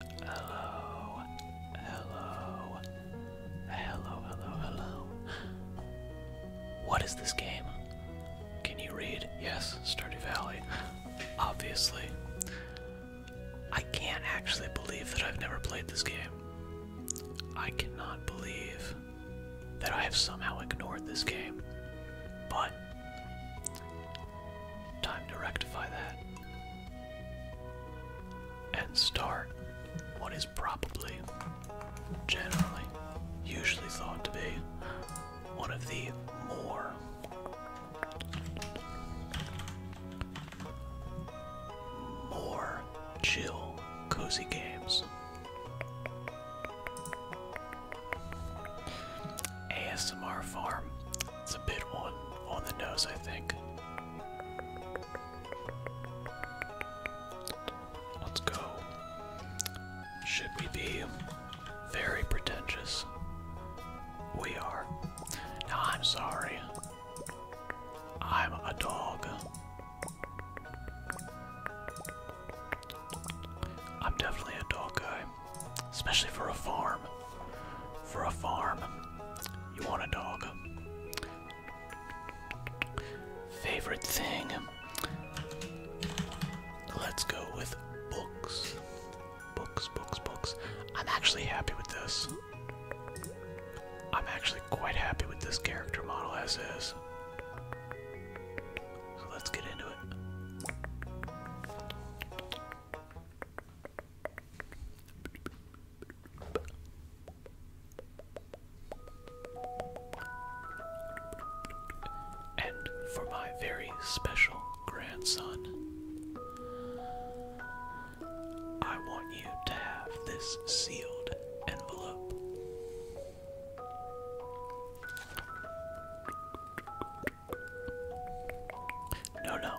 Hello, hello, hello, hello, hello. What is this game? Can you read? Yes, Stardew Valley. Obviously. I can't actually believe that I've never played this game. I cannot believe that I have somehow ignored this game. But Time to rectify that. And start what is probably, generally, usually thought to be one of the more more chill, cozy games. ASMR Farm it's a bit on on the nose, I think. Let's go. Should we be very pretentious? We are. Now I'm sorry. I'm a dog. I'm definitely a dog guy. Especially for a farm. For a farm, you want a dog. Favorite thing? Let's go with books. Books, books, books. I'm actually happy with this. I'm actually quite happy with this character model as is. So let's get into it. And for my very special grandson, I want you to have this sealed envelope. No, no.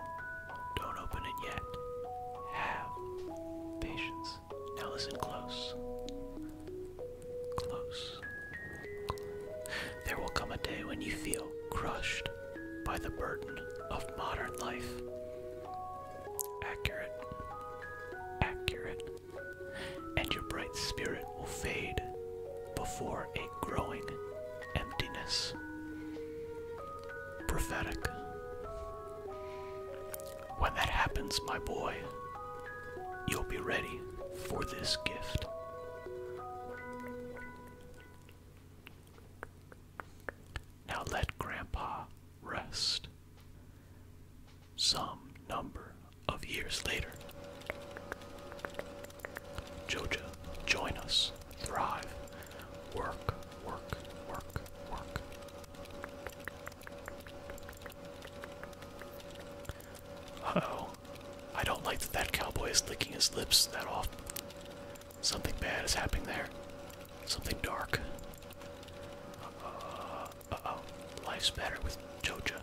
Don't open it yet. Have patience. Now listen close. Close. There will come a day when you feel crushed by the burden of modern life. Accurate. Accurate. And your bright spirit will fade before growing emptiness. Prophetic. When that happens, my boy, you'll be ready for this gift. Now let Grandpa rest. Some number of years later, Jojo, join us. Thrive. Work, work, work, work. oh. I don't like that that cowboy is licking his lips that often. Something bad is happening there. Something dark. oh. Life's better with Jojo.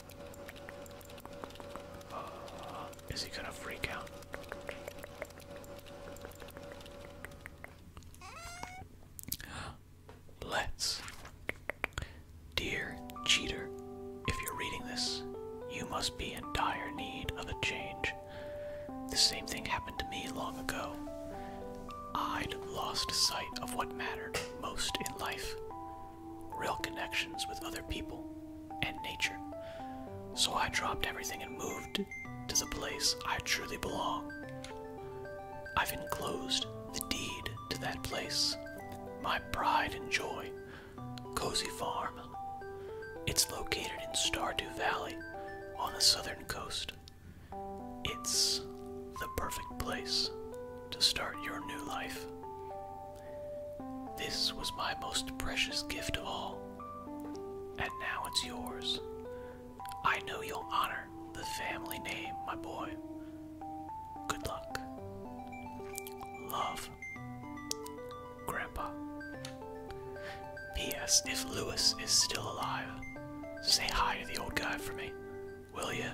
Is he gonna freak out? Let's. Dear cheater, if you're reading this, you must be in dire need of a change. The same thing happened to me long ago. I'd lost sight of what mattered most in life real connections with other people, and nature. So I dropped everything and moved to the place I truly belong. I've enclosed the deed to that place, my pride and joy, Cozy Farm. It's located in Stardew Valley on the southern coast. It's the perfect place to start your new life. This was my most precious gift of all and now it's yours. I know you'll honor the family name, my boy. Good luck. Love. Grandpa. P.S. If Lewis is still alive, say hi to the old guy for me, will you?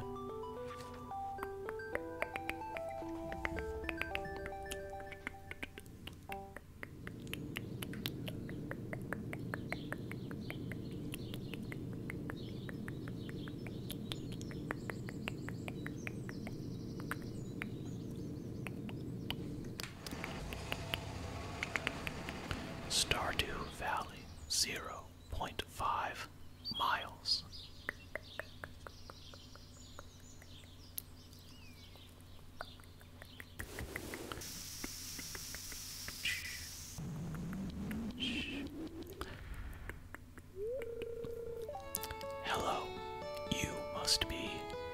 Stardew Valley, zero point five miles. Hello, you must be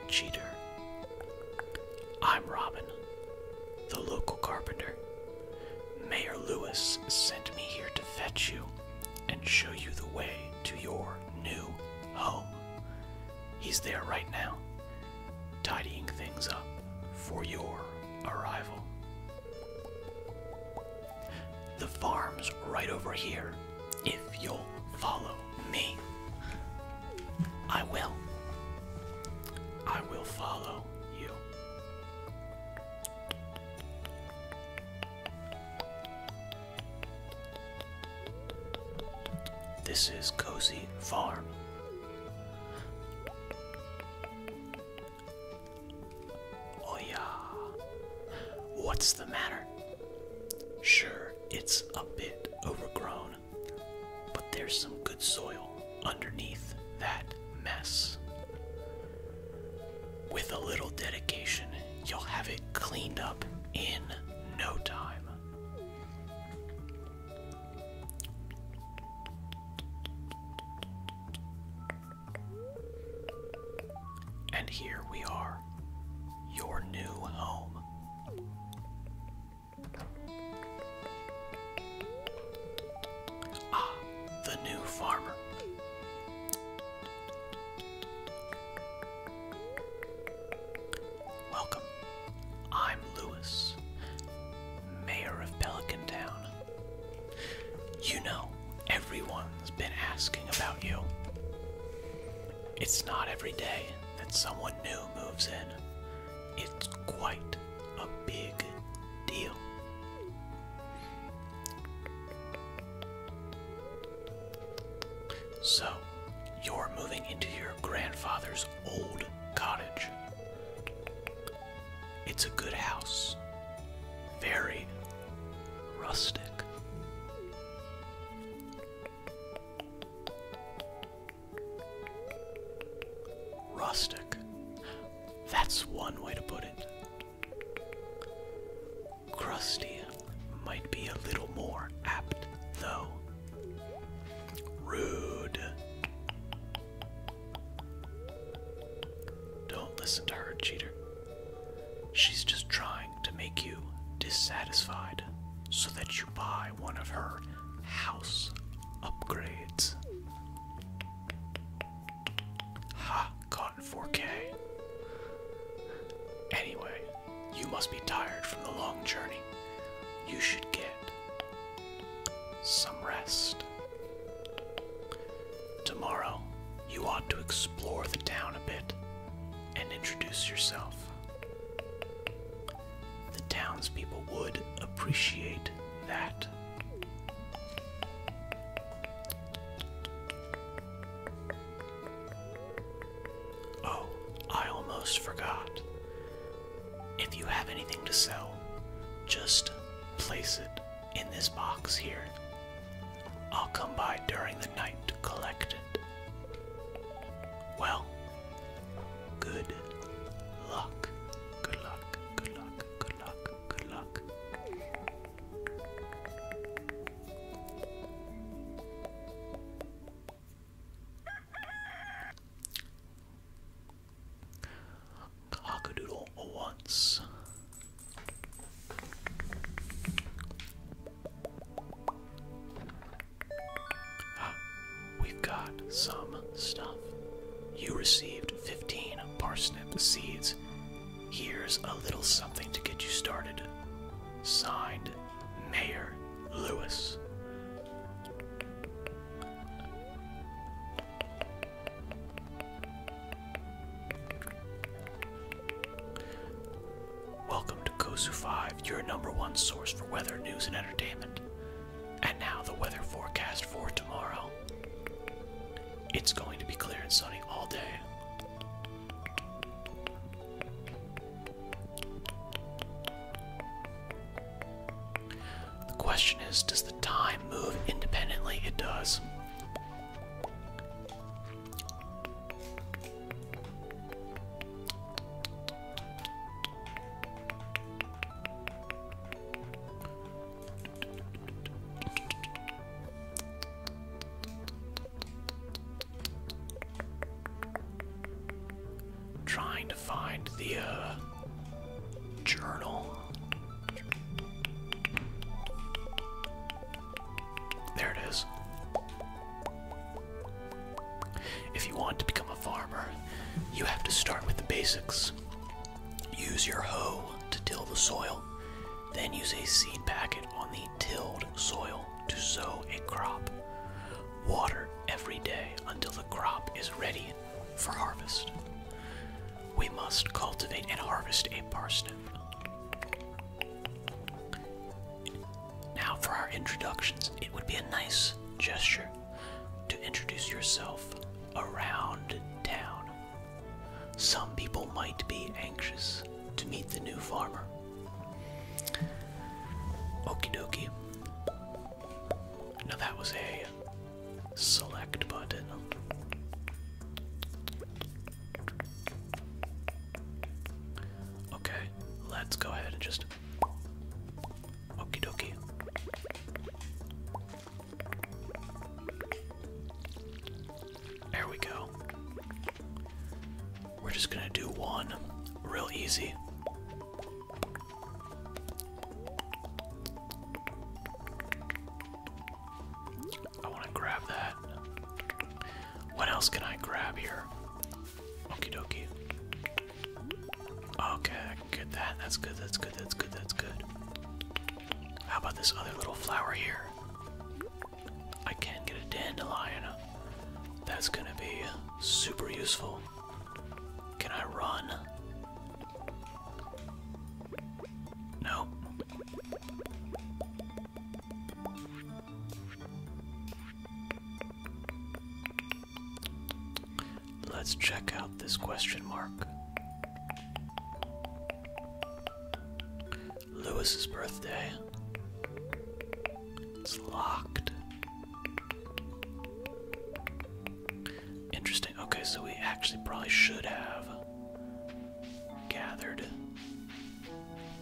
Cheater. I'm Robin, the local carpenter. Mayor Lewis sent me here to fetch you and show you the way to your new home. He's there right now, tidying things up for your arrival. The farm's right over here, if you'll follow me. I will. I will follow you. This is Cozy Farm. Oh, yeah. What's the matter? Sure, it's a bit overgrown, but there's some good soil underneath that mess. With a little dedication, you'll have it cleaned up in no time. And here we are, your new home. Ah, the new farmer. Welcome. I'm Lewis, Mayor of Pelican Town. You know, everyone's been asking about you. It's not every day that someone new moves in, it's quite a big deal. So, you're moving into your grandfather's old cottage. It's a good house, very rustic. Rustic. That's one way to put it crusty might be a little more apt, though. Rude. Don't listen to her, cheater. She's just trying to make you dissatisfied so that you buy one of her house upgrades. Ha, gotten 4K. Anyway, you must be tired from the long journey. You should get some rest. Tomorrow, you ought to explore the town a bit and introduce yourself. The townspeople would appreciate that. Oh, I almost forgot. If you have anything to sell, just place it in this box here. I'll come by during the night to collect it. Well, good luck. Good luck. Good luck. Good luck. Good luck. Cockadoodle once. We've got some stuff. You received 15 parsnip seeds. Here's a little something to get you started. Signed, Mayor Lewis. Welcome to Kosu 5, your number one source for weather news and entertainment. And now the weather forecast for tomorrow. It's going to be clear and sunny all day. The question is Does the time move independently? It does. Trying to find the uh, journal. There it is. If you want to become a farmer, you have to start with the basics. Use your hoe to till the soil, then use a seed packet on the tilled soil to sow a crop. Water every day until the crop is ready for harvest. We must cultivate and harvest a parsnip. Now, for our introductions, it would be a nice gesture to introduce yourself around town. Some people might be anxious to meet the new farmer. Okie dokie. Now that was a select button. Okay, let's go ahead and just. Okie dokie. There we go. We're just gonna do one real easy. I want to grab that. What else can I grab here? Okie dokie. Okay, get that. That's good, that's good, that's good, that's good. How about this other little flower here? I can not get a dandelion. That's gonna be super useful. Can I run? No. Let's check out this question mark. Lewis's birthday. It's locked. Interesting. Okay, so we actually probably should have gathered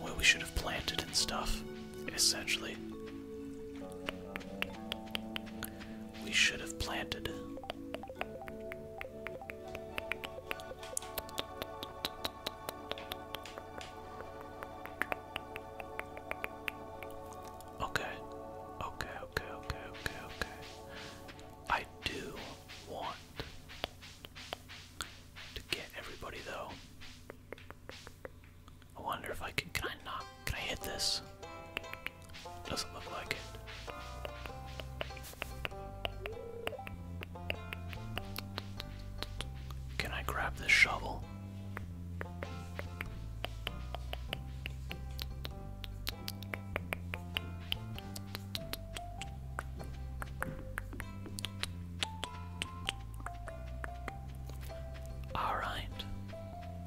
what we should have planted and stuff, essentially. We should have planted. Okay, okay, okay, okay, okay, okay. I do want to get everybody though. I wonder if I can. Can I not? Can I hit this? Doesn't look like it. Can I grab this shovel? Alright.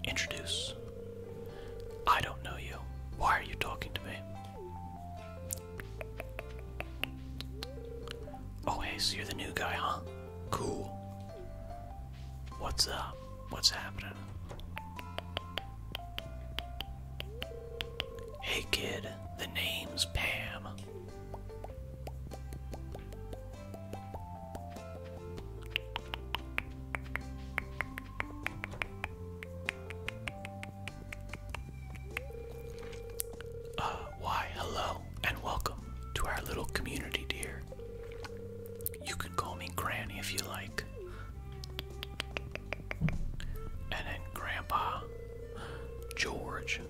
Introduce. I don't know you. Why are you talking to me? Oh, hey, so you're the new guy, huh? Cool. What's up? What's happening? Hey, kid, the name's Pam. Uh, why, hello, and welcome to our little community, dear. You can call me Granny if you like. And then Grandpa George.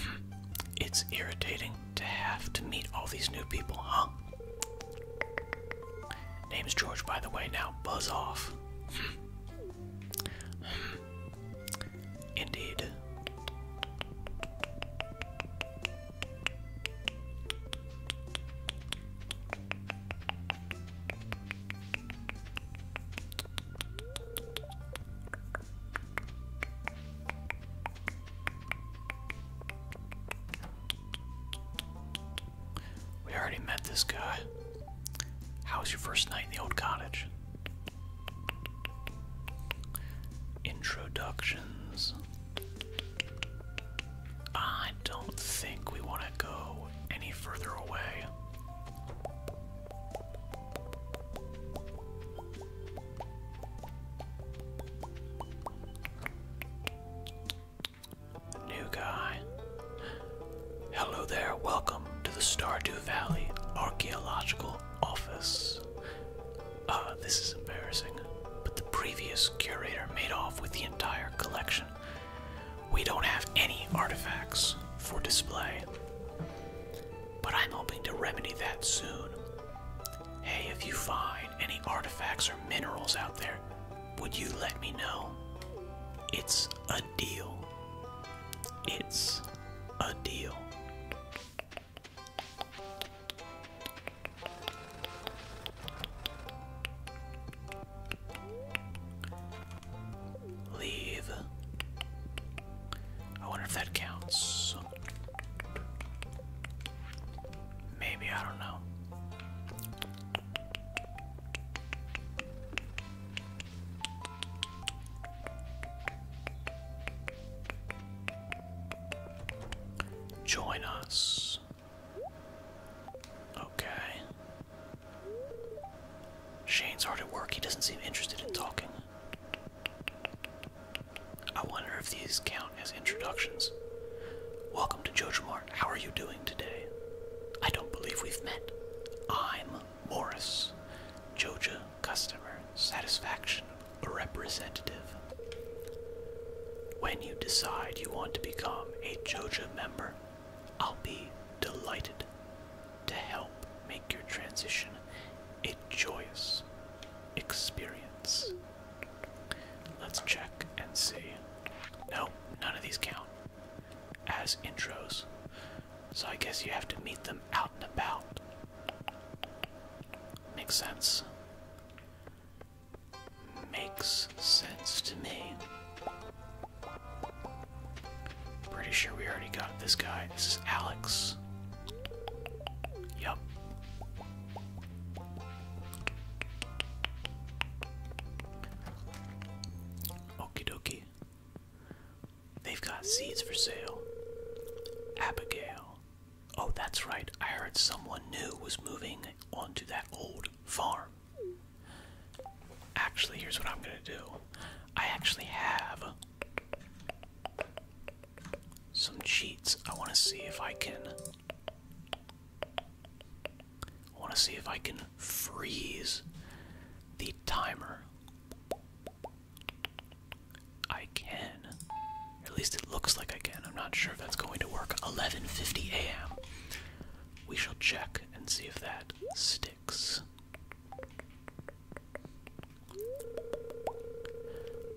Hmm, it's irritating to have to meet all these new people, huh? Name's George, by the way, now buzz off. Hmm. Hmm. Indeed. We already met this guy. How was your first night in the old cottage? Introductions. I don't think we want to go any further away. New guy. Hello there, welcome to the Stardew Valley Archaeological Office. Ah, this is embarrassing, but the previous curator made off with the entire collection. We don't have any artifacts for display, but I'm hoping to remedy that soon. Hey, if you find any artifacts or minerals out there, would you let me know? It's a deal. It's a deal. Leave. I wonder if that counts. Maybe, I don't know. Join us. Okay. Shane's hard at work. He doesn't seem interested in talking. I wonder if these count as introductions. Welcome to Jojomart. How are you doing today? I don't believe we've met. I'm Morris, Joja Customer Satisfaction Representative. When you decide you want to become a Joja member, I'll be delighted to help make your transition a joyous experience. Let's check and see. No, none of these count as intros. So I guess you have to meet them out and about. Makes sense. Makes sense to me. Pretty sure we already got this guy. This is Alex. Yup. Okie dokie. They've got seeds for sale. Abigail. Oh, that's right. I heard someone new was moving onto that old farm. Actually, here's what I'm going to do. I actually have some cheats. I want to see if I can I want to see if I can freeze the timer I can. At least it looks like I can. I'm not sure if that's going to work. 11:50 a.m. We shall check and see if that sticks.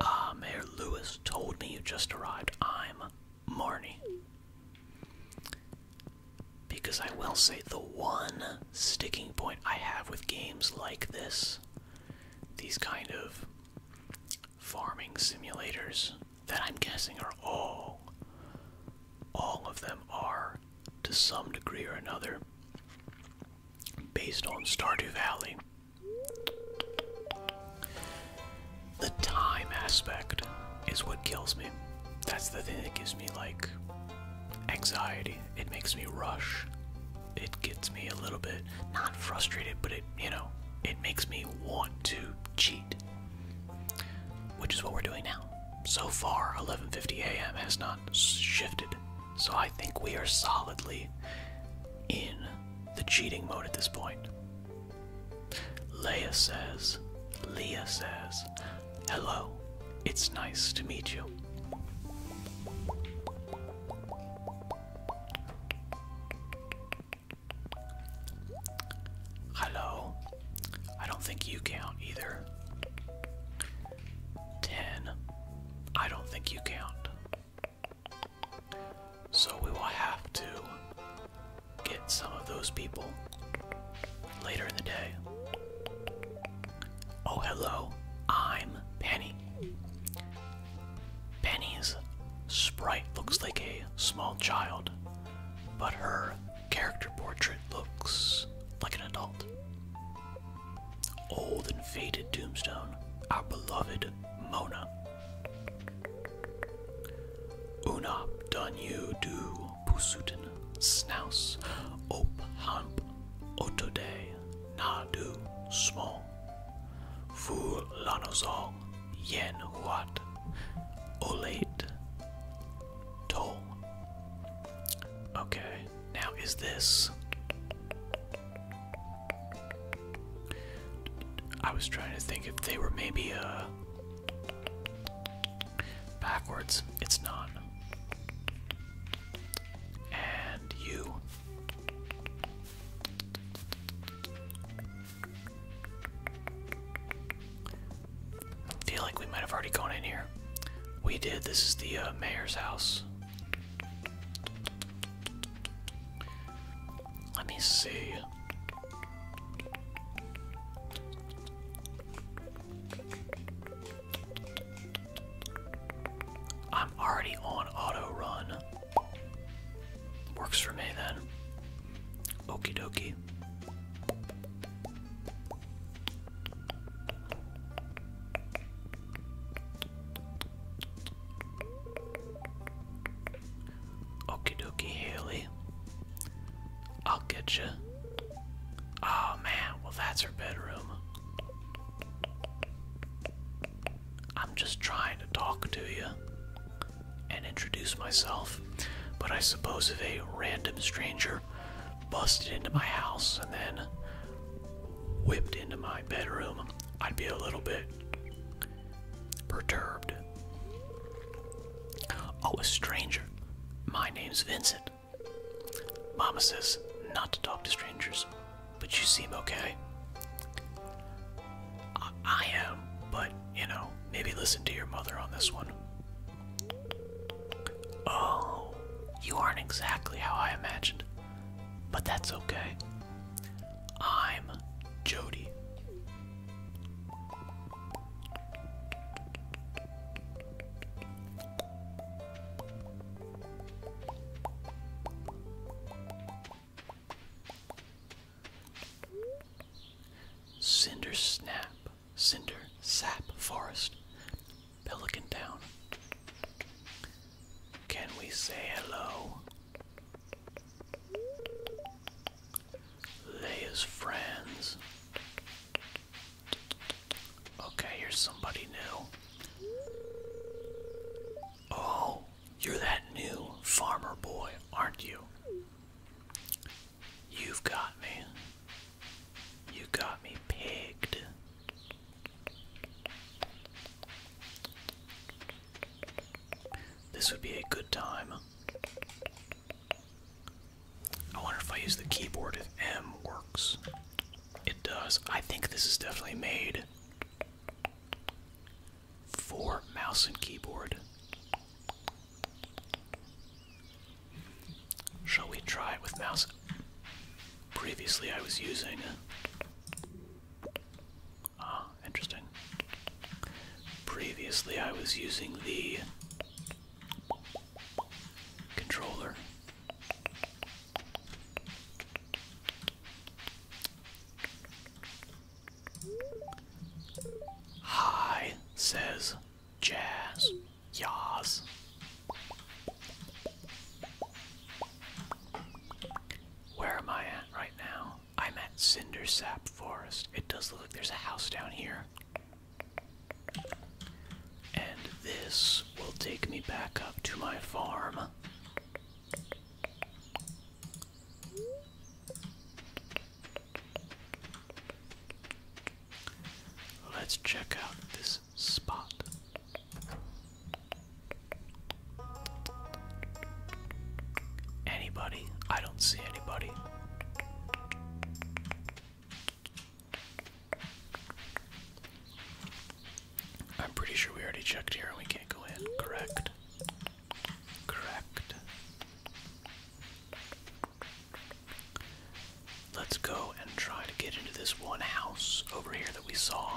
Ah, Mayor Lewis told me you just arrived. I'm Marnie. Because I will say the one sticking point I have with games like this, these kind of farming simulators that I'm guessing are all, all of them are to some degree or another based on Stardew Valley. The time aspect is what kills me. That's the thing that gives me like anxiety. It makes me rush. It gets me a little bit not frustrated, but it, you know, it makes me want to cheat. Which is what we're doing now. So far, 11:50 a.m. has not shifted. So I think we are solidly in the cheating mode at this point. Leah says, Leah says, Hello, it's nice to meet you. Hello, I don't think you count either. Ten, I don't think you count. So we will have to get some of those people later in the day. Oh, hello, I'm Penny. Penny's sprite looks like a small child, but her character portrait looks like an adult. Old and faded tombstone, our beloved Mona. Unop done Pusuten, snous Op Hamp, Otode, Nadu, Small, Fu Lanozol, Yen Huat, Olate, Toll. Okay, now is this. I was trying to think if they were maybe, a. Uh, Backwards, it's not. And you. feel like we might have already gone in here. We did. This is the uh, mayor's house. Let me see. I'm already on auto run. Works for me then. Okey dokie. Okie dokie, Haley. I'll get you. Oh man, well that's her bedroom. I'm just trying to talk to you and introduce myself, but I suppose if a random stranger busted into my house and then whipped into my bedroom, I'd be a little bit perturbed. Oh, a stranger. My name's Vincent. Mama says not to talk to strangers, but you seem okay. I, am, but you know, maybe listen to your mother on this one. Oh, you aren't exactly how I imagined, but that's okay. I'm Jody. Cinder snap, cinder sap forest, pelican down. Can we say hello? Leia's friends. Okay, here's somebody new. Oh, you're that new farmer boy, aren't you? You've got me. You got me pigged. This would be a good time I wonder if I use the keyboard if M works. It does. I think this is definitely made for mouse and keyboard. Shall we try it with mouse? Previously, I was using. Ah, interesting. Previously, I was using the controller. Hi, says Jazz. Yaz. Where am I at right now? I'm at Cindersap Forest. It does look like there's a house down here. And this will take me back up to my farm. Let's check out this spot. Anybody? I don't see anybody. I'm pretty sure we already checked here and we can't go in. Correct. Correct. Let's go and try to get into this one house over here that we saw.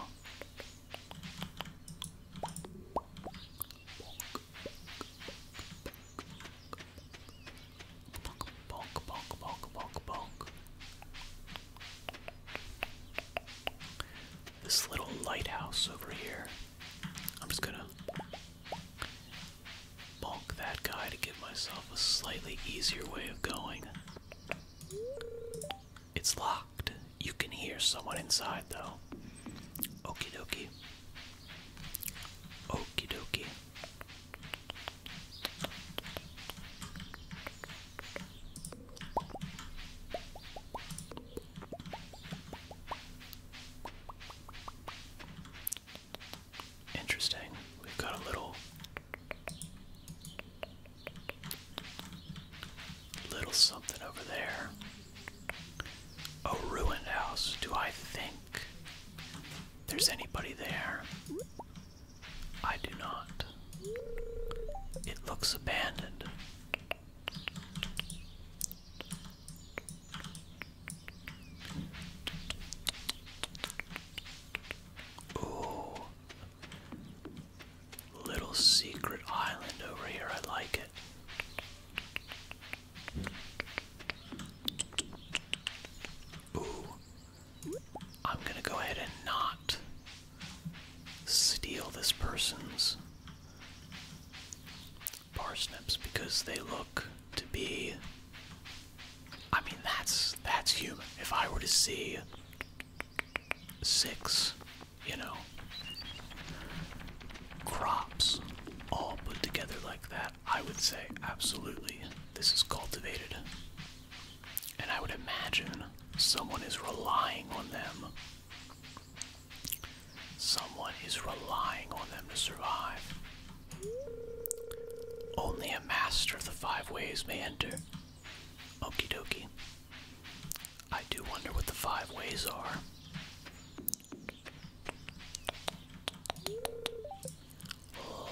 This little lighthouse over here. I'm just gonna bonk that guy to give myself a slightly easier way of going. It's locked. You can hear someone inside though. Okie dokie. Okie dokie. Interesting. We've got a little little something over there. A ruined house. Do I think there's anybody there? I do not. It looks abandoned. Ooh. Little secret island over here. I like it. Ooh, I'm gonna go ahead and not steal this person's parsnips because they look to be I mean that's that's human. If I were to see six, you know, crops all put together like that, I would say absolutely this is cultivated. And I would imagine someone is relying on them. Someone is relying on them to survive. Only a master of the five ways may enter. Okie dokie. I do wonder what the five ways are.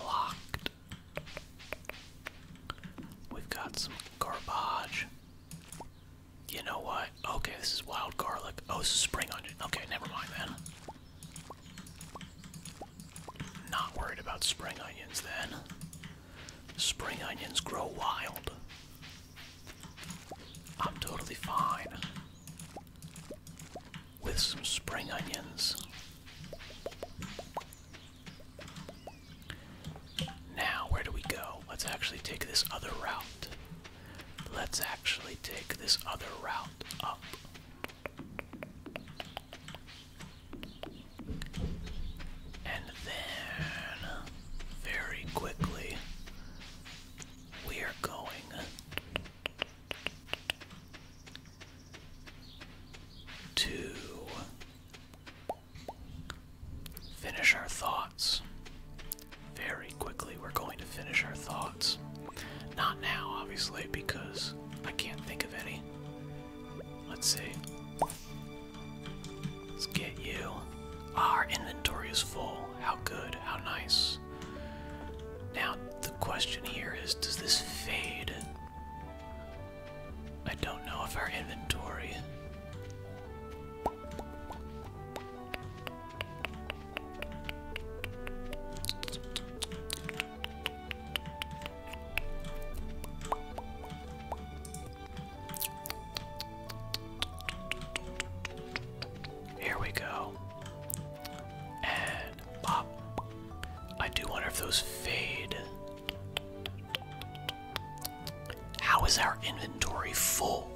Locked We've got some garbage. You know what? Okay, this is wild garlic. Oh, it's is spring onion. Okay, never mind then. Not worried about spring onions then. Spring onions grow wild. I'm totally fine with some spring onions. Now, where do we go? Let's actually take this other route. Let's actually take this other route up. And then, very quickly, we are going to finish our thoughts. Very quickly, we're going to finish our thoughts. Not now, obviously, because I can't think of any. Let's see. Let's get you. Ah, our inventory is full. How good, how nice. Now, the question here is does this fade? I don't know if our inventory. Here we go and I do wonder if those fade. How is our inventory full?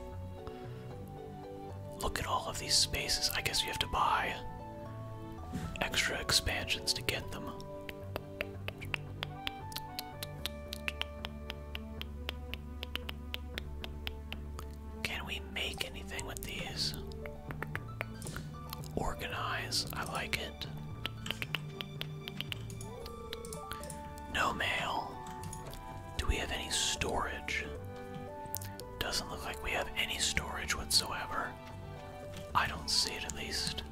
Look at all of these spaces. I guess we have to buy extra expansions to get them. Can we make anything with these? Organize, I like it. No mail. Do we have any storage? Doesn't look like we have any storage whatsoever. I don't see it at least.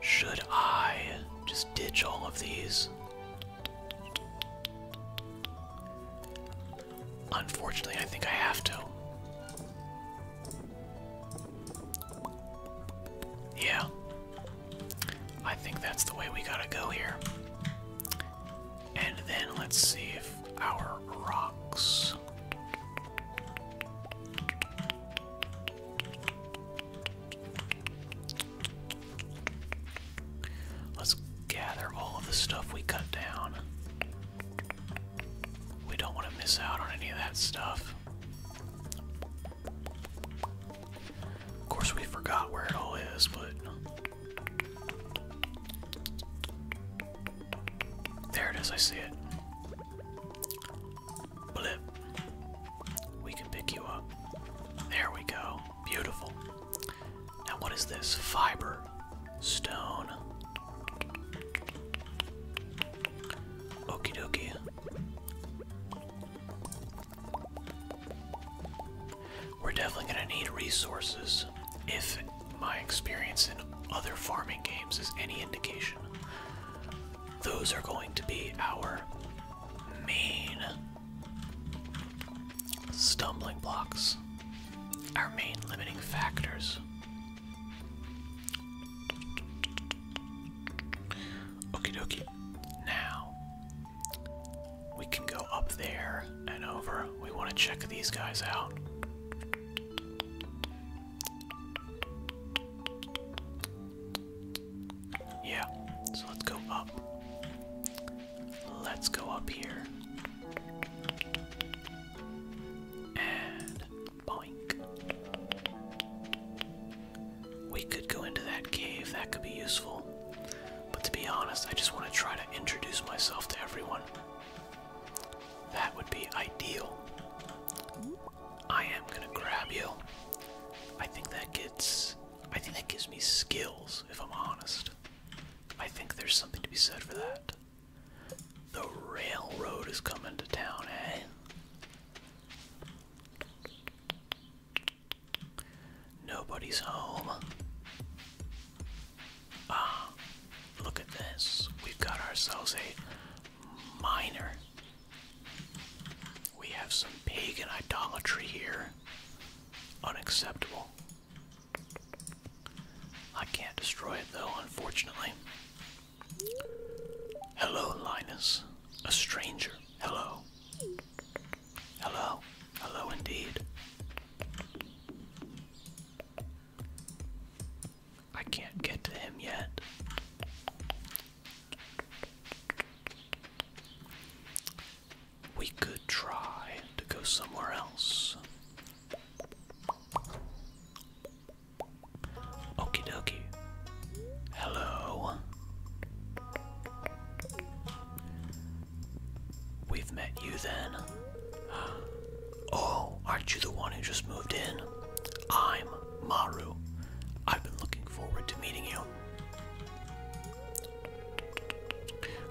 Should I just ditch all of these? Unfortunately, I think I have to. Yeah. I think that's the way we gotta go here. And then let's see if our rocks. Let's gather all of the stuff we cut down. We don't want to miss out on any of that stuff. Of course, we forgot where it all is, but. There it is, I see it. Blip. We can pick you up. There we go. Beautiful. Now, what is this? Fiber. Stone. Okie dokie. We're definitely going to need resources if my experience in other farming games is any indication. Those are going to be our main stumbling blocks, our main limiting factors. Okie dokie. Now we can go up there and over. We want to check these guys out. Yeah, so let's go up. Let's go up here. And boink. We could go into that cave, that could be useful. But to be honest, I just want to try to introduce myself to everyone. That would be ideal. I am gonna grab you. I think that gets I think that gives me skills, if I'm honest. I think there's something to be said for that. The railroad is coming to town, eh? Nobody's home. Ah, look at this. We've got ourselves a miner. We have some pagan idolatry here. Unacceptable. I can't destroy it though, unfortunately. Hello, Linus. A stranger. Hello. Hello. Hello indeed. I can't get to him yet. We could try to go somewhere else. Okie dokie. Hello. We've met you then. Oh, aren't you the one who just moved in? I'm Maru. I've been looking forward to meeting you.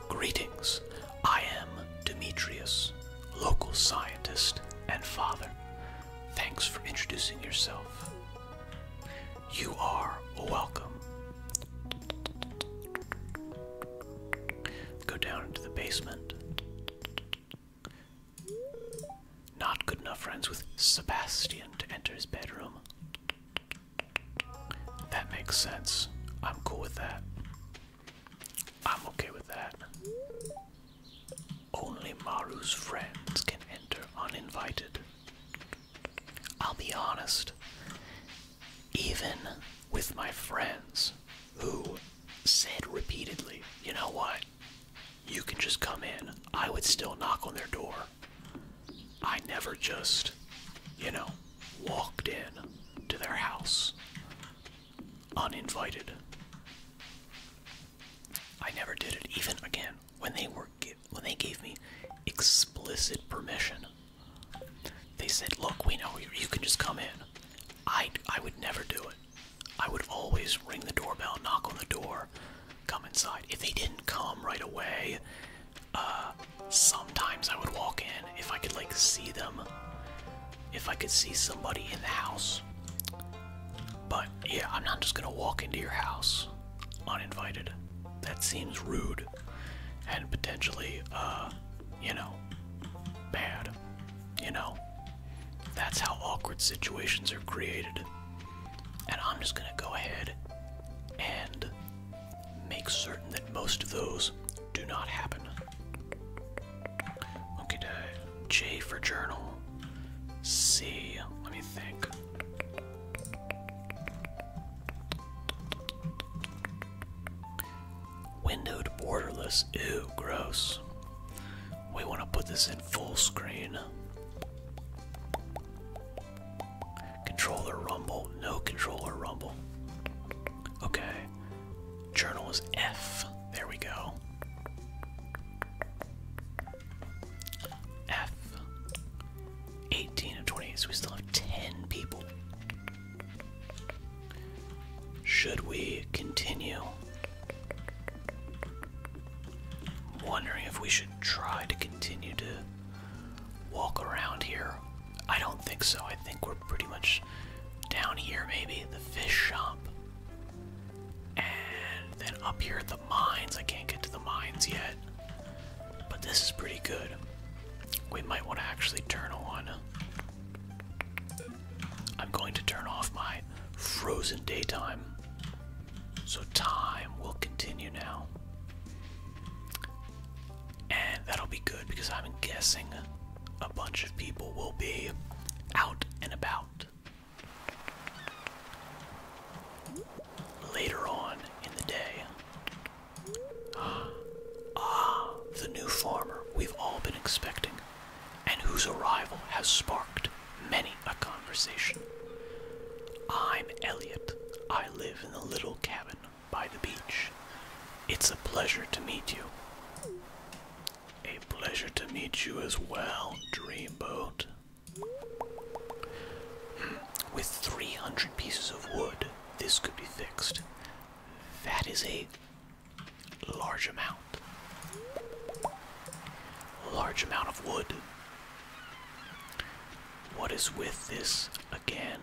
Greetings. I am Demetrius, local scientist and father. Thanks for introducing yourself. You are welcome. Go down into the basement. Not good enough friends with Sebastian to enter his bedroom. That makes sense. I'm cool with that. I'm okay with that. Only Maru's friends can enter uninvited. I'll be honest, even with my friends who said repeatedly, you know what? you can just come in. I would still knock on their door. I never just, you know, walked in to their house uninvited. I never did it. Even again, when they were when they gave me explicit permission, they said, "Look, we know you, can just come in." I I would never do it. I would always ring the doorbell, knock on the door, come inside. If they didn't come right away, uh, sometimes I would walk in if I could like see them, if I could see somebody in the house. But yeah, I'm not just gonna walk into your house uninvited. That seems rude and potentially, uh, you know, bad. You know, that's how awkward situations are created. And I'm just gonna go ahead and make certain that most of those do not happen. Okay, J for journal. C, let me think. Windowed borderless, ew, gross. We want to put this in full screen. Controller rumble. No controller rumble. Okay. Journal is F. There we go. F. 18 of twenty, so we still have 10 people. Should we continue? Wondering if we should try to continue to walk around here. I don't think so. I think we're pretty much down here, maybe. The fish shop. And then up here at the mines. I can't get to the mines yet. But this is pretty good. We might want to actually turn on I'm going to turn off my frozen daytime. So time will continue now. And that'll be good because I'm guessing a bunch of people will be out and about later on in the day. Ah, the new farmer we've all been expecting and whose arrival has sparked many a conversation. I'm Elliot. I live in the little cabin by the beach. It's a pleasure to meet you. A pleasure to meet you as well, Dreamboat. Hmm, with 300 pieces of wood, this could be fixed. That is a Large amount. Large amount of wood. What is with this again?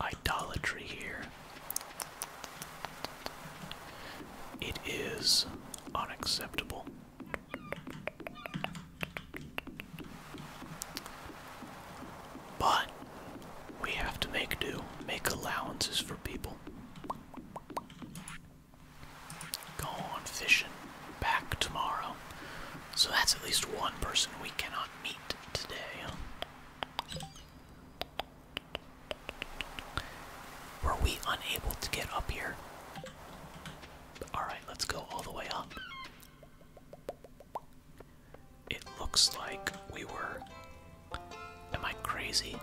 Idolatry here. It is unacceptable. But we have to make do, make allowances for people. Go on fishing back tomorrow. So that's at least one person we cannot meet today. Were we unable to get up here? Alright, let's go all the way up. It looks like we were Am I crazy?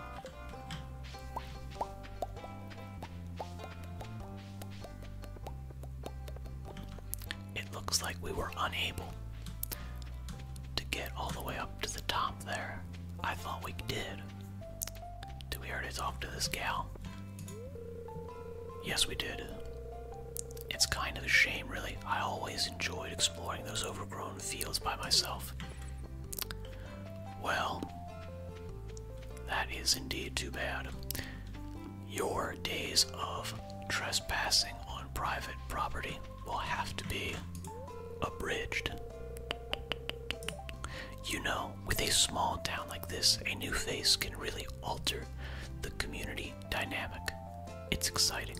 It looks like we were unable to get all the way up to the top there. I thought we did. Do we already talk to this gal? Yes, we did. It's kind of a shame, really. I always enjoyed exploring those overgrown fields by myself. Well, that is indeed too bad. Your days of trespassing on private property will have to be abridged. You know, with a small town like this, a new face can really alter the community dynamic. It's exciting.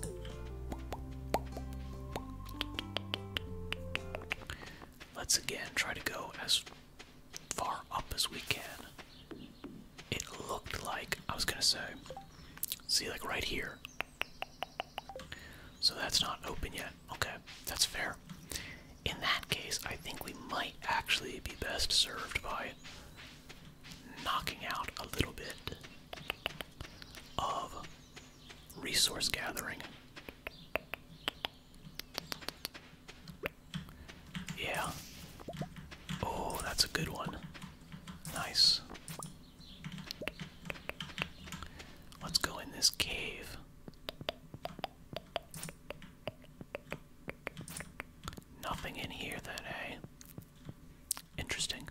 Let's again try to go as far up as we can. It looked like, I was gonna say, see, like right here. So that's not open yet. Okay, that's fair. In that case, I think we might actually be best served by knocking out a little bit of resource gathering. Yeah. Oh, that's a good one. Nice. Let's go in this cave. Nothing in here then, eh? Interesting.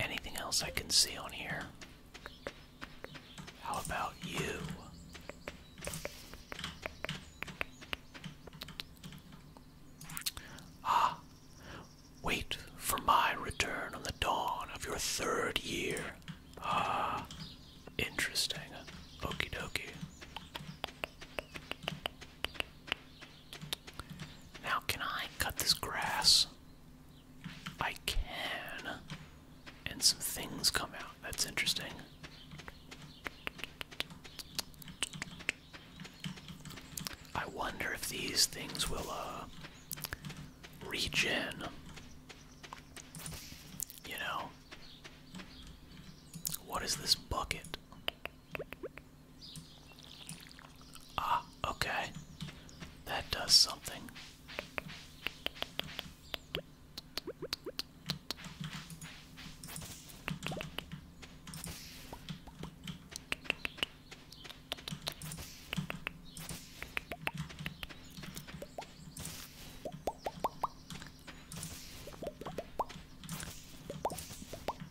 Anything else I can see on here? How about you? Ah, wait for my return on the dawn of your third year. Ah, interesting. Okie dokie. Now, can I cut this grass? I can. And some things come out. That's interesting. I wonder if these things will, uh, regen. You know? What is this bucket? Ah, okay. That does something.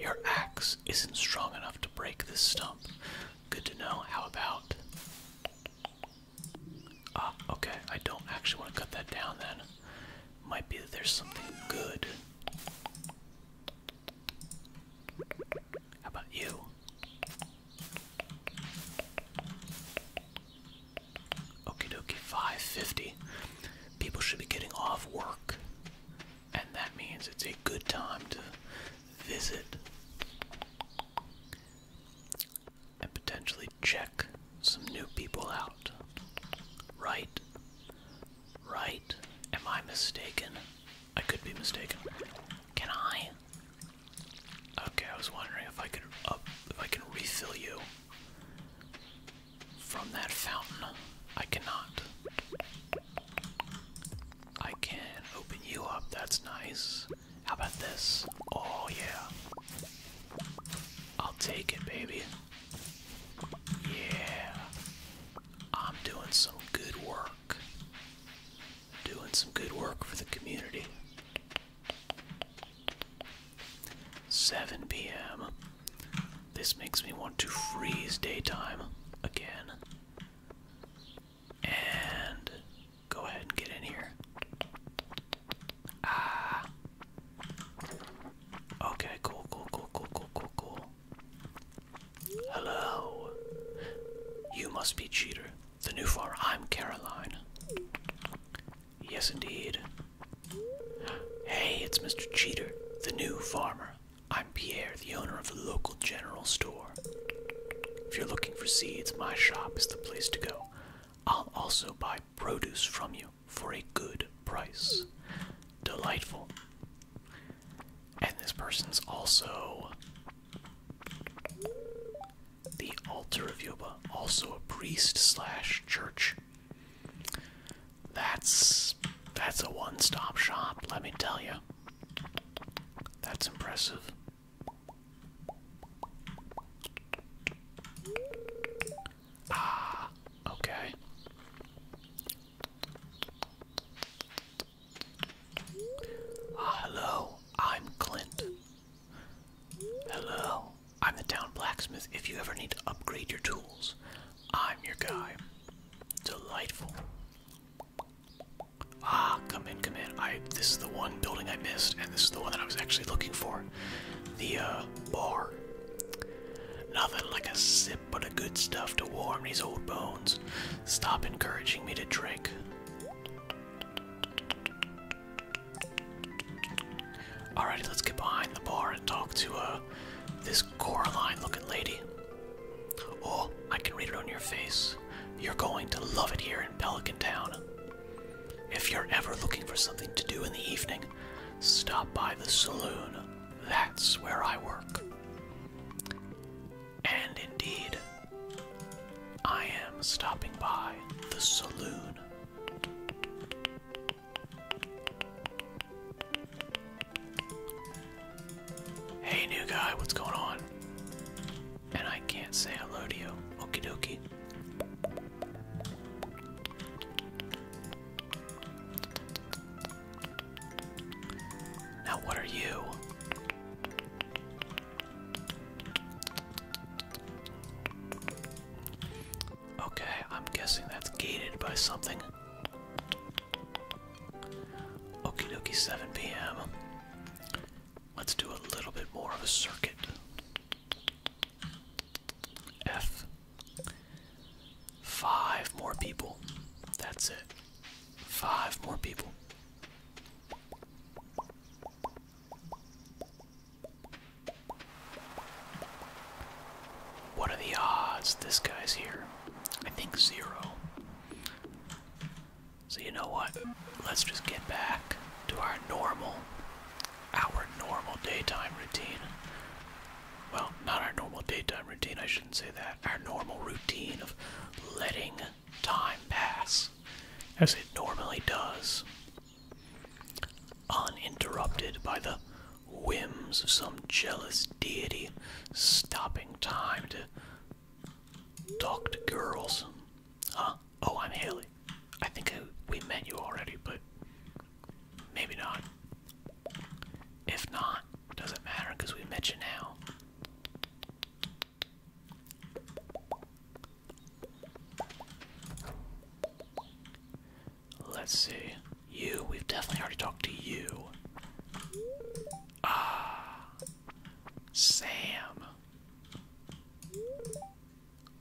Your axe isn't strong enough to break this stump. Good to know. How about. Ah, okay. I don't actually want to cut that down then. Might be that there's something good. How about you? Okie dokie, 550. People should be getting off work, and that means it's a good time to visit and potentially check some new people out. Right? Right? Am I mistaken? I could be mistaken. Can I? Okay, I was wondering if I could if I can refill you from that fountain. I cannot. I can open you up. That's nice. How about this? Oh yeah. I'll take it, baby. Yeah. I'm doing some good work doing some good work for the community. 7 p.m. This makes me want to freeze daytime again. And go ahead and get in here. Ah. Okay, cool, cool, cool, cool, cool, cool, cool. Hello. You must be Cheater, the new farmer. I'm Caroline. Yes, indeed. Hey, it's Mr. Cheater, the new farmer. I'm Pierre, the owner of the local general store. If you're looking for seeds, my shop is the place to go. I'll also buy produce from you for a good price. Delightful. And this person's also the altar of Yoba, also a priest slash church. That's that's a one-stop shop, let me tell you. That's impressive. Ah, okay. Ah, hello, I'm Clint. Hello, I'm the town blacksmith. If you ever need to upgrade your tools, I'm your guy. Delightful. Ah, come in, come in. this is the one building I missed, and this is the one that I was actually looking for. The uh, bar. Nothing like a sip but a good stuff to warm these old bones. Stop encouraging me to drink. Alrighty, let's get behind the bar and talk to uh, this Coraline looking lady. Oh, I can read it on your face. You're going to love it here in Pelican Town. If you're ever looking for something to do in the evening, stop by the saloon. That's where I work. And indeed, I am stopping by the saloon. Hey, new guy, what's going on? And I can't say hello to you. Okie dokie. Now, what are you? Okay, I'm guessing that's gated by something. Okie dokie, 7 p.m. Let's do a little bit more of a circuit. F. Five more people. That's it. Five more people. What are the odds this guy's here? I think zero. So you know what? Let's just get back to our normal, our normal daytime routine. Well, not our normal daytime routine, I shouldn't say that. Our normal routine of letting time pass as it normally does, uninterrupted by the whims of some jealous deity stopping time to talk to girls. Huh? Oh, I'm Haley. I think we met you already, but maybe not. If not, doesn't matter we met you now. Let's see. You, we've definitely already talked to you. Ah, Sam.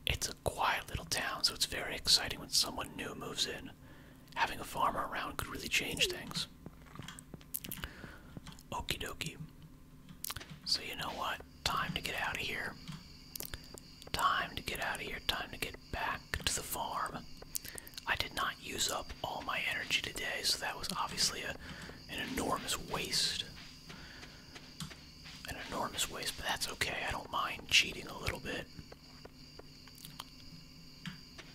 It's a quiet little town, so it's very exciting when someone new moves in. Having a farmer around could really change things. Okie dokie. So, you know what? Time to get out of here. Time to get out of here. Time to get back to the farm. I did not use up all my energy today, so that was obviously an enormous waste. An enormous waste, but that's okay. I don't mind cheating a little bit.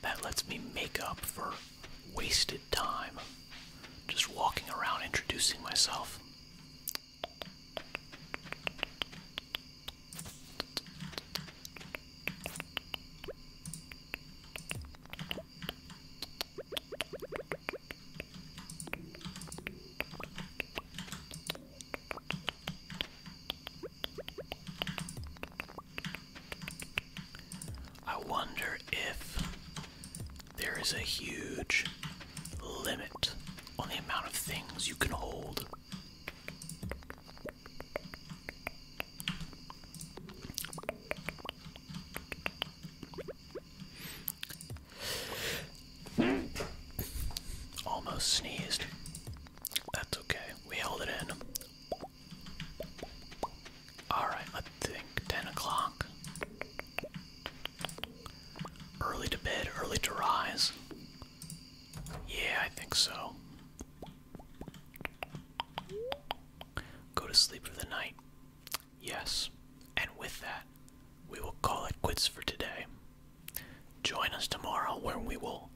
That lets me make up for wasted time just walking around introducing myself. I wonder if there is a huge limit on the amount of things you can hold. Almost sneezed. That's okay. We held it in. Alright, I think 10 o'clock. Early to bed, early to rise. Yeah, I think so. Go to sleep for the night. Yes. And with that, we will call it quits for today. Join us tomorrow when we will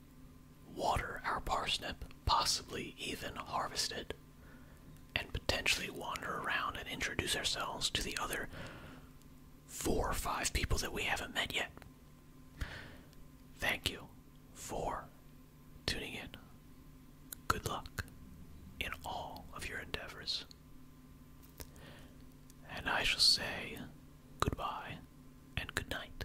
water our parsnip, possibly even harvest it and potentially wander around and introduce ourselves to the other four or five people that we haven't met yet. Thank you for tuning in. Good luck in all of your endeavors. And I shall say goodbye and good night.